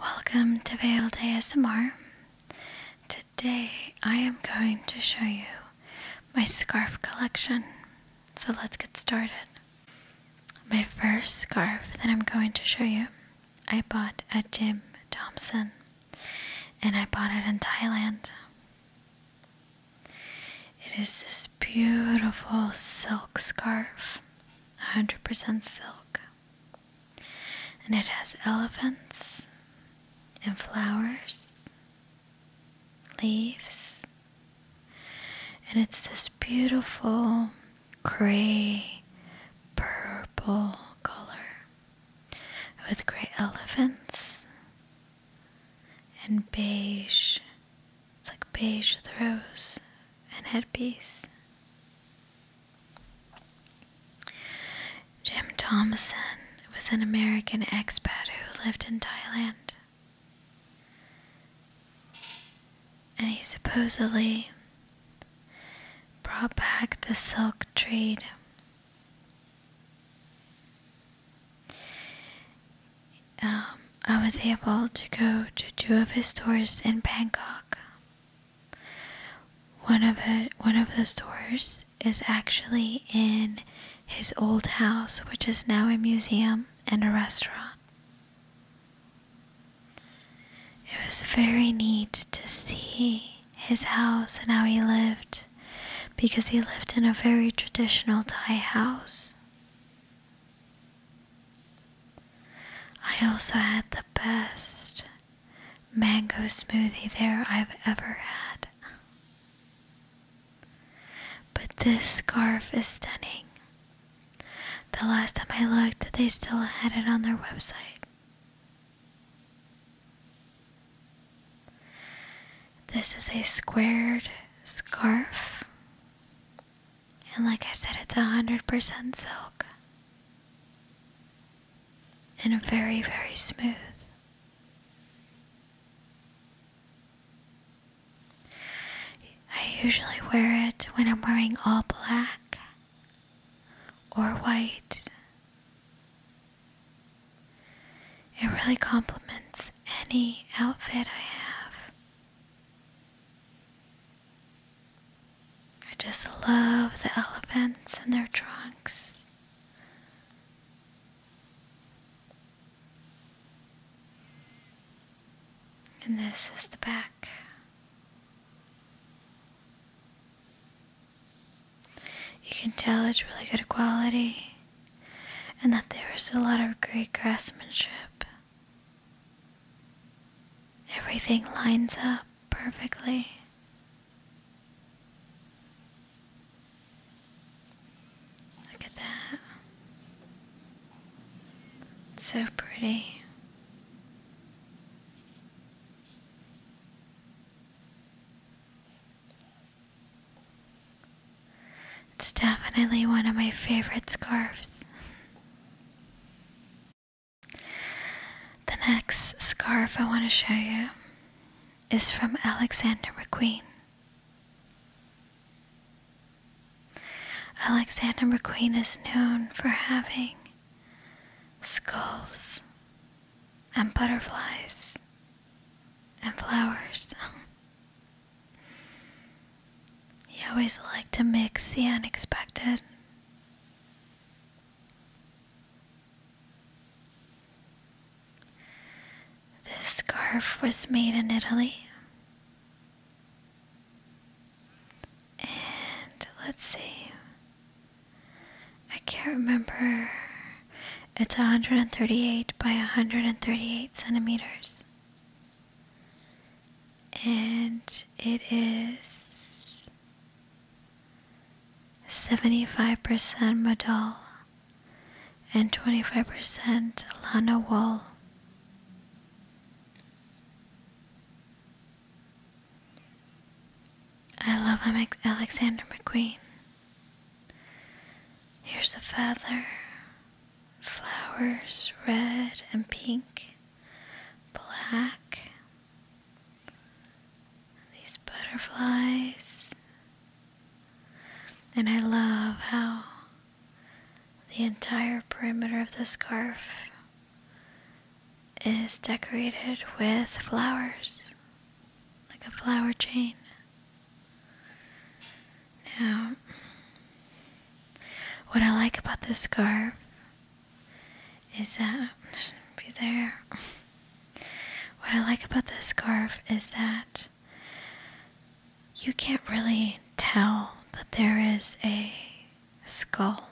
Welcome to Veiled ASMR. Today I am going to show you my scarf collection. So let's get started. My first scarf that I'm going to show you, I bought at Jim Thompson and I bought it in Thailand. It is this beautiful silk scarf, 100% silk. And it has elephants and flowers, leaves, and it's this beautiful gray purple color with gray elephants and beige it's like beige with rose and headpiece. Jim Thomason was an American expat who lived in Thailand. And he supposedly brought back the silk trade. Um, I was able to go to two of his stores in Bangkok. One of it, one of the stores is actually in his old house, which is now a museum and a restaurant. It was very neat to see his house and how he lived because he lived in a very traditional Thai house. I also had the best mango smoothie there I've ever had. But this scarf is stunning. The last time I looked, they still had it on their website. This is a squared scarf and like I said, it's 100% silk. And very, very smooth. I usually wear it when I'm wearing all black or white. It really complements any outfit I have. I just love the elephants and their trunks. And this is the back. You can tell it's really good quality and that there is a lot of great craftsmanship. Everything lines up perfectly. Look at that. so pretty. It's definitely one of my favorite scarves. The next scarf I want to show you is from Alexander McQueen. Alexander McQueen is known for having skulls and butterflies and flowers You always like to mix the unexpected. This scarf was made in Italy. And let's see. I can't remember. It's 138 by 138 centimeters and it is 75% modal and 25% lana wool. I love Alexander McQueen. Here's a feather flowers red and pink, black, these butterflies. And I love how the entire perimeter of the scarf is decorated with flowers, like a flower chain. Now, what I like about this scarf is that be there. What I like about this scarf is that you can't really tell that there is a skull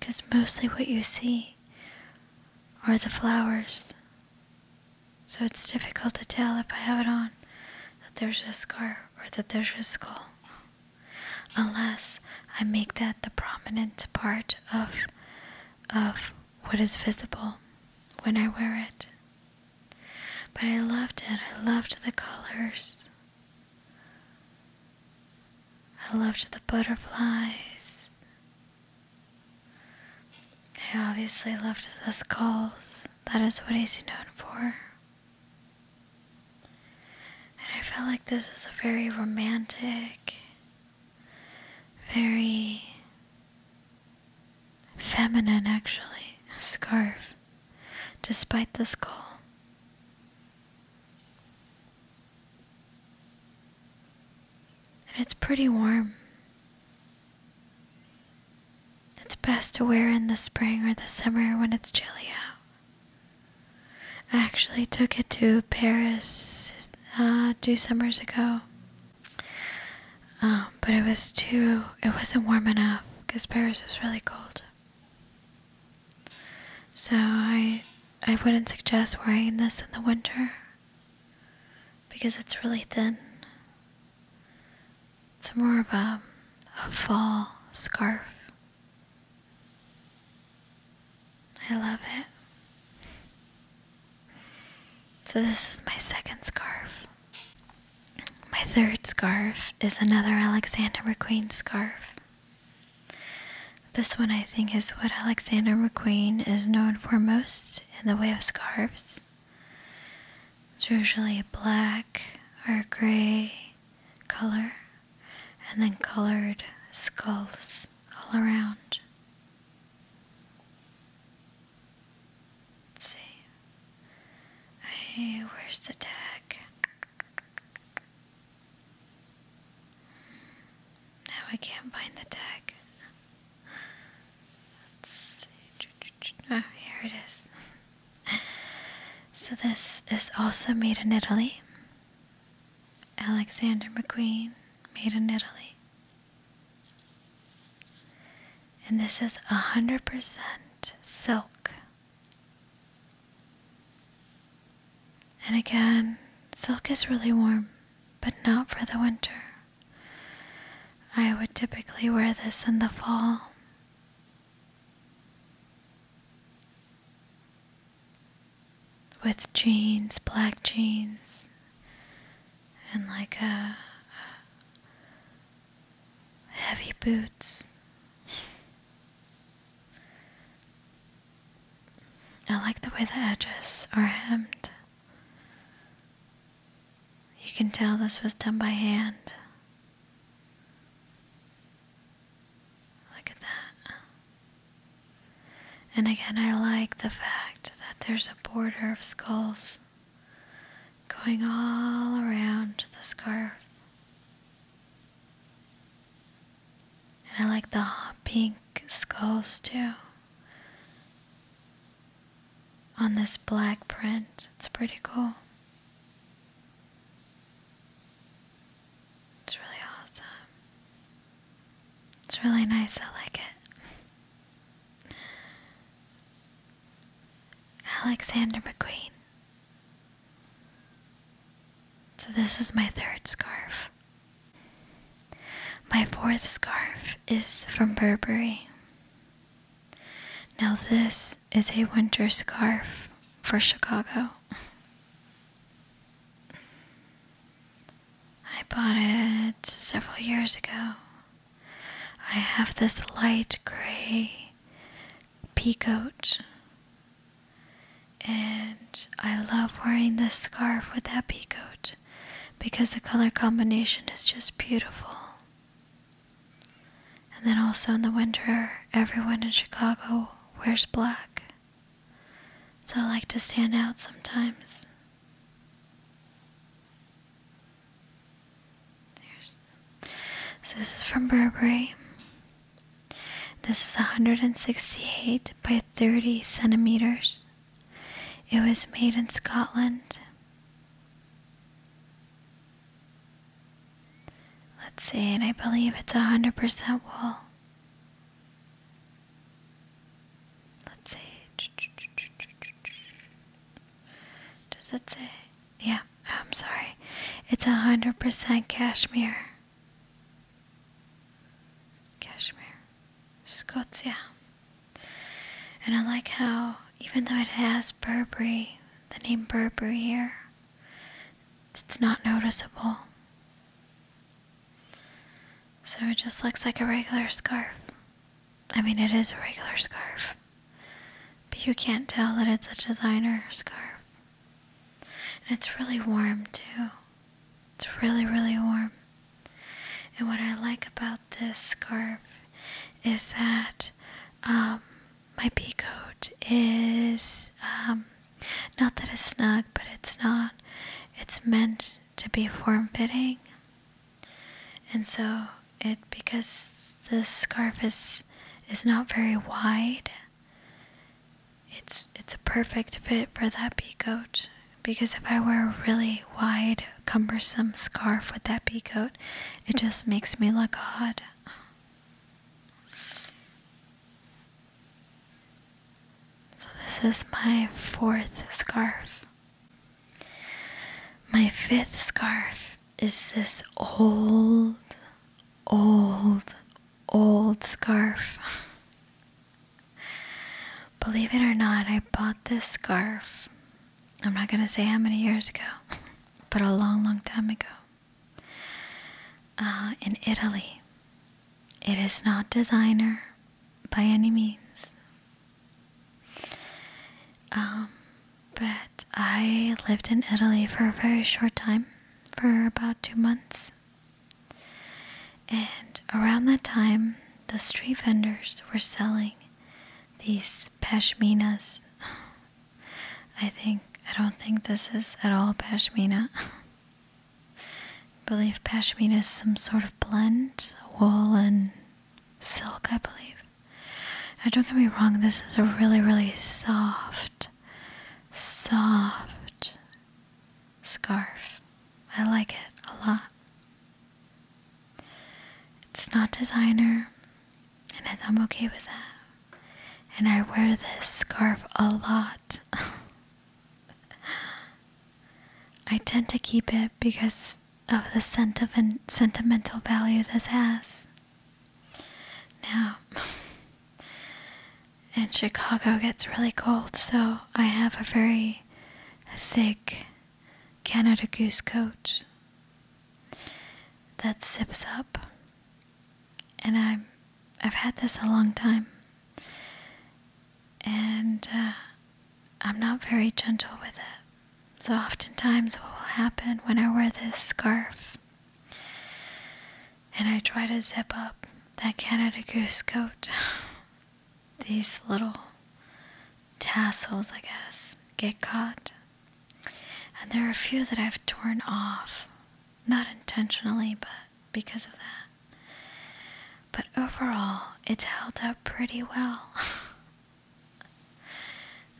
because mostly what you see are the flowers so it's difficult to tell if I have it on that there's a scar or that there's a skull, unless I make that the prominent part of of what is visible when I wear it. But I loved it. I loved the colors. I loved the butterflies. I obviously loved the skulls that is what he's known for. And I feel like this is a very romantic, very feminine, actually, scarf, despite the skull. And it's pretty warm. It's best to wear in the spring or the summer when it's chilly out. I actually took it to Paris uh, two summers ago. Um, but it was too, it wasn't warm enough because Paris is really cold. So I, I wouldn't suggest wearing this in the winter because it's really thin it's more of a, a fall scarf. I love it. So, this is my second scarf. My third scarf is another Alexander McQueen scarf. This one, I think, is what Alexander McQueen is known for most in the way of scarves. It's usually a black or gray color, and then colored skulls all around. Let's see. Hey, where's the tag? Now I can't find the tag. Let's see. Oh, here it is. So, this is also made in Italy. Alexander McQueen, made in Italy. And this is 100% silk. And again, silk is really warm, but not for the winter. I would typically wear this in the fall with jeans, black jeans, and like uh, uh, heavy boots. I like the way the edges are hemmed. You can tell this was done by hand. Look at that. And again, I like the fact that there's a border of skulls going all around the scarf. And I like the hot pink skulls too on this black print. It's pretty cool. It's really awesome. It's really nice. I like it. Alexander McQueen. So, this is my third scarf. My fourth scarf is from Burberry. Now, this is a winter scarf for Chicago. I bought it several years ago. I have this light gray peacoat, and I love wearing this scarf with that peacoat because the color combination is just beautiful. And then also in the winter, everyone in Chicago wears black. So I like to stand out sometimes. this is from Burberry. This is 168 by 30 centimeters. It was made in Scotland. Let's see, and I believe it's 100% wool. Let's see. Does that say? Yeah, I'm sorry. It's 100% cashmere. Cashmere. Scotia. And I like how, even though it has Burberry the name Burberry here. It's not noticeable. So it just looks like a regular scarf. I mean, it is a regular scarf. But you can't tell that it's a designer scarf. And it's really warm, too. It's really, really warm. And what I like about this scarf is that um, my pea coat is um, not that it's snug, but it's not. It's meant to be form fitting, and so it because the scarf is is not very wide. It's it's a perfect fit for that pea coat because if I wear a really wide, cumbersome scarf with that pea it just makes me look odd. So, this is my fourth scarf. My fifth scarf is this old, old, old scarf. Believe it or not, I bought this scarf I'm not going to say how many years ago, but a long, long time ago. Uh, in Italy, it is not designer by any means. Um, but I lived in Italy for a very short time, for about two months. And around that time, the street vendors were selling these pashminas I think I don't think this is at all pashmina. believe pashmina is some sort of blend, wool and silk, I believe. Now don't get me wrong, this is a really, really soft, soft scarf. I like it a lot. It's not designer, and I'm okay with that. And I wear this scarf a lot. I tend to keep it because of the sentimental value this has. Now, in Chicago gets really cold, so I have a very thick Canada Goose coat that sips up. And I'm, I've had this a long time. And uh, I'm not very gentle with it. So, oftentimes, what will happen when I wear this scarf and I try to zip up that Canada Goose coat, these little tassels, I guess, get caught and there are a few that I've torn off, not intentionally, but because of that. But overall, it's held up pretty well.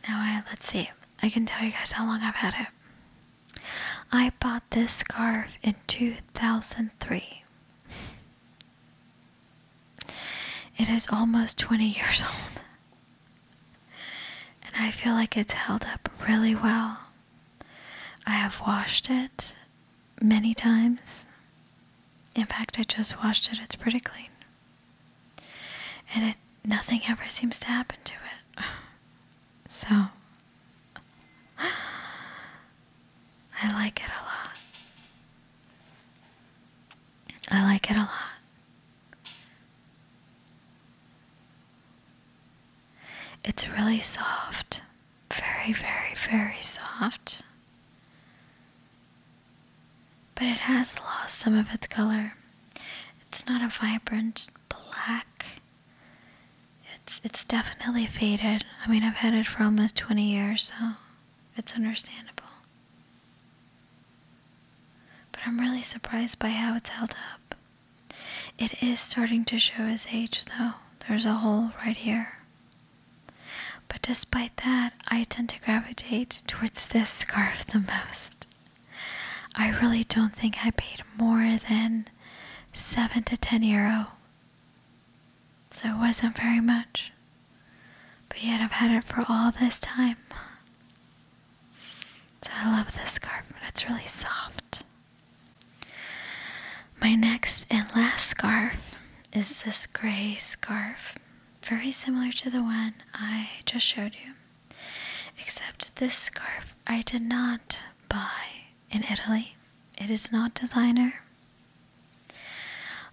now, I, let's see, I can tell you guys how long I've had it. I bought this scarf in 2003. It is almost 20 years old. And I feel like it's held up really well. I have washed it many times. In fact, I just washed it. It's pretty clean. And it nothing ever seems to happen to it. So I like it a lot. I like it a lot. It's really soft, very, very, very soft. But it has lost some of its color. It's not a vibrant black. It's it's definitely faded. I mean, I've had it for almost 20 years, so it's understandable. But I'm really surprised by how it's held up. It is starting to show its age, though. There's a hole right here. But despite that, I tend to gravitate towards this scarf the most. I really don't think I paid more than 7 to 10 euro. So it wasn't very much. But yet I've had it for all this time. So I love this scarf, it's really soft. My next and last scarf is this gray scarf, very similar to the one I just showed you. Except this scarf I did not buy in Italy. It is not designer.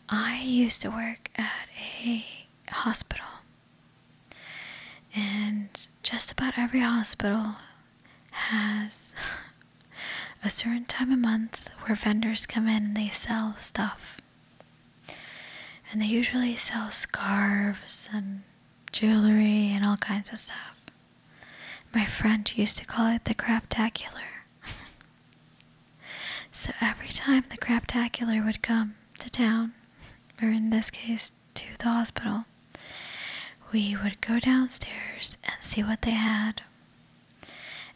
I used to work at a hospital and just about every hospital has a certain time a month where vendors come in and they sell stuff. And they usually sell scarves and jewelry and all kinds of stuff. My friend used to call it the craptacular. so every time the craptacular would come to town, or in this case, to the hospital, we would go downstairs and see what they had.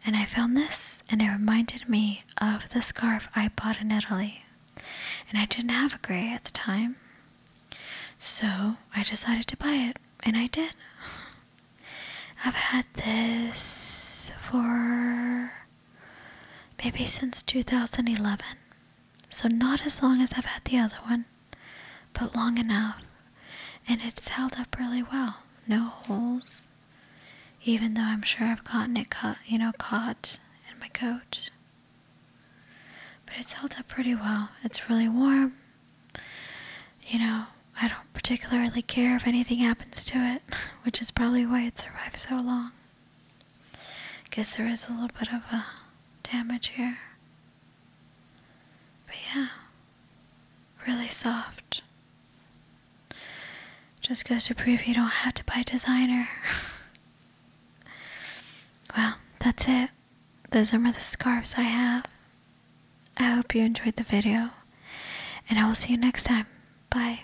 And I found this, and it reminded me of the scarf I bought in Italy. And I didn't have a gray at the time. So I decided to buy it, and I did. I've had this for Maybe since 2011. So, not as long as I've had the other one, but long enough. And it's held up really well. No holes. Even though I'm sure I've gotten it cut, you know, caught in my coat. But it's held up pretty well. It's really warm. You know, I don't particularly care if anything happens to it, which is probably why it survived so long. Guess there is a little bit of a damage here. But yeah, really soft. Just goes to prove you don't have to buy designer. well, that's it. Those are my the scarves I have. I hope you enjoyed the video, and I will see you next time. Bye.